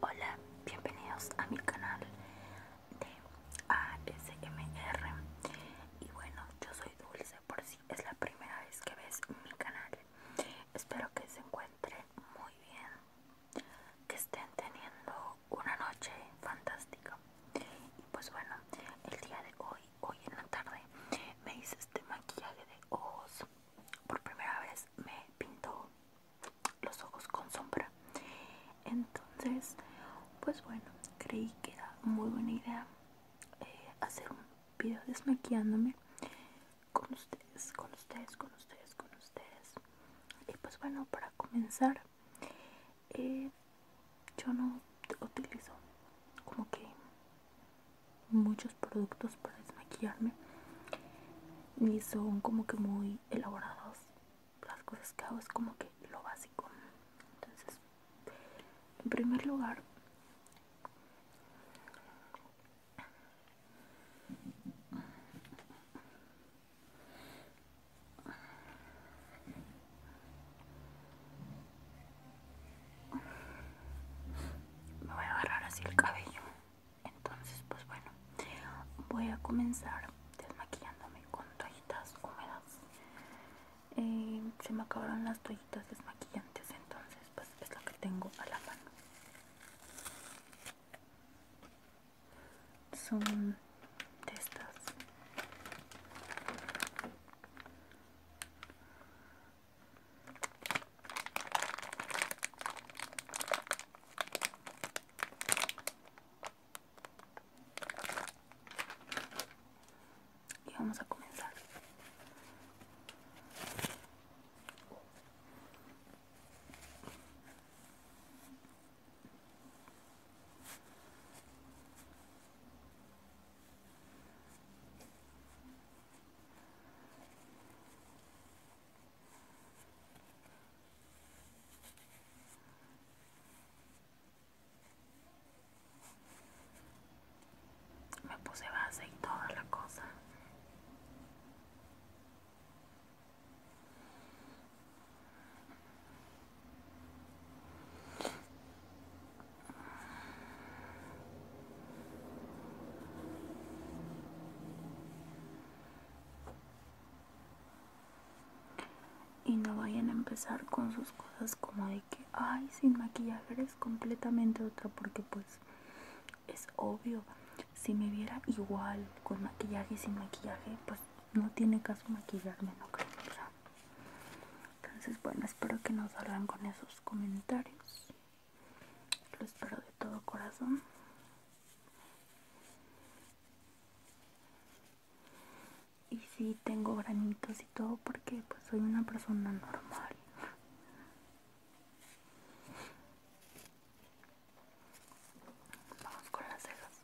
Hola, bienvenidos a mi canal de ASMR Y bueno, yo soy Dulce por si es la primera vez que ves mi canal Espero que se encuentren muy bien Que estén teniendo una noche fantástica Y pues bueno, el día de hoy hoy, en la tarde me hice este maquillaje de ojos. Por primera vez me pintó los ojos con sombra. Entonces, pues bueno, creí que era muy buena idea eh, hacer un video desmaquillándome con ustedes, con ustedes, con ustedes, con ustedes. Y pues bueno, para comenzar, eh, yo no utilizo como que muchos productos para desmaquillarme ni son como que muy elaborados las cosas que hago es como que lo básico entonces en primer lugar me voy a agarrar así el cabello entonces pues bueno voy a comenzar desmaquillándome con toallitas húmedas eh, se me acabaron las toallitas desmaquillantes entonces pues es lo que tengo a la mano son de y vamos a comenzar me puse base y toda la cosa. Y no vayan a empezar con sus cosas como de que, ay, sin maquillaje es completamente otra, porque pues es obvio, si me viera igual con maquillaje y sin maquillaje, pues no tiene caso maquillarme, no creo. Entonces, bueno, espero que nos hablan con esos comentarios. Lo espero de todo corazón. Y sí, tengo granitos y todo porque pues soy una persona normal. Vamos con las cejas.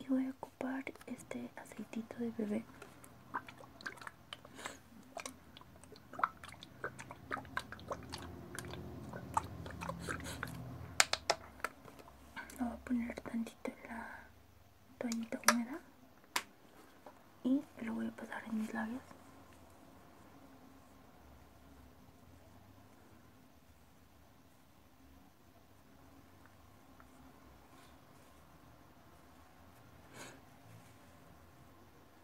y voy a ocupar este aceitito de bebé voy a poner tantito en la toallita húmeda y lo voy a pasar en mis labios.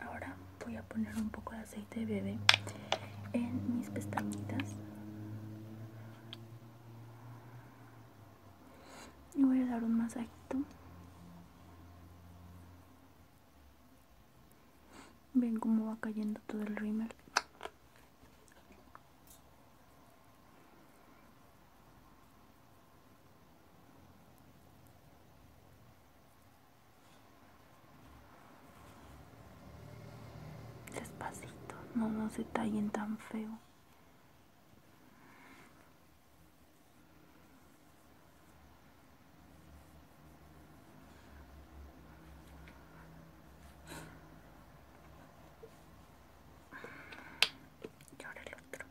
Ahora voy a poner un poco de aceite de bebé en mis pestañitas. Y voy a dar un masajito. Ven cómo va cayendo todo el rímel. Despacito, no, no se tan feo. Y ahora el otro.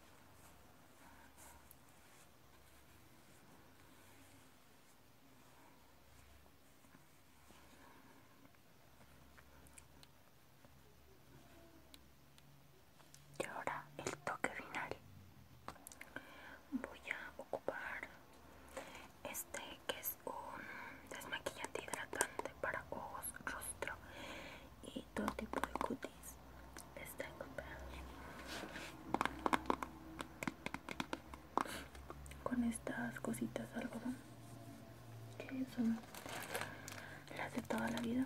Y ahora el toque final. Voy a ocupar este que es un desmaquillante hidratante para ojos, rostro y todo tipo de cutis están comprados con estas cositas de algodón que son las de toda la vida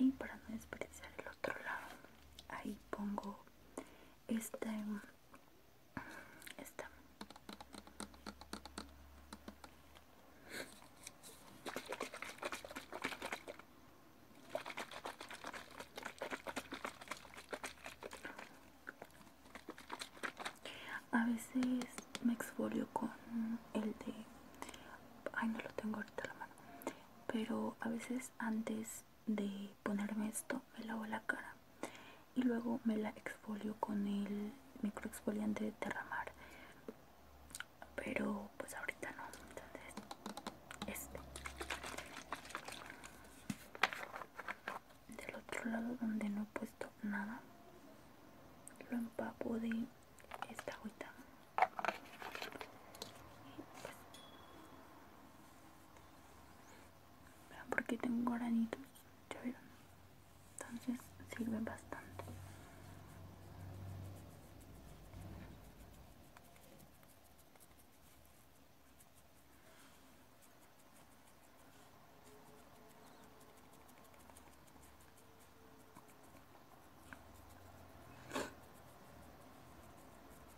y para no desperdiciar el otro lado ahí pongo este a veces me exfolio con el de... Ay, no lo tengo ahorita la mano. Pero a veces antes de ponerme esto me lavo la cara y luego me la exfolio con el microexfoliante de Terramar pero pues ahorita no entonces este del otro lado donde no he puesto nada lo empapo de esta agüita porque tengo granitos ya entonces sirve bastante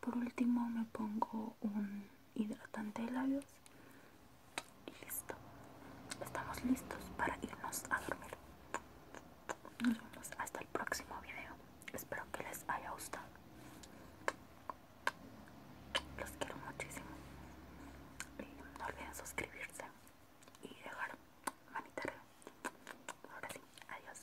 por último me pongo un hidratante de labios y listo estamos listos para irnos a dormir nos vemos hasta el próximo video espero que les haya gustado los quiero muchísimo no olviden suscribirse y dejar manita ahora sí adiós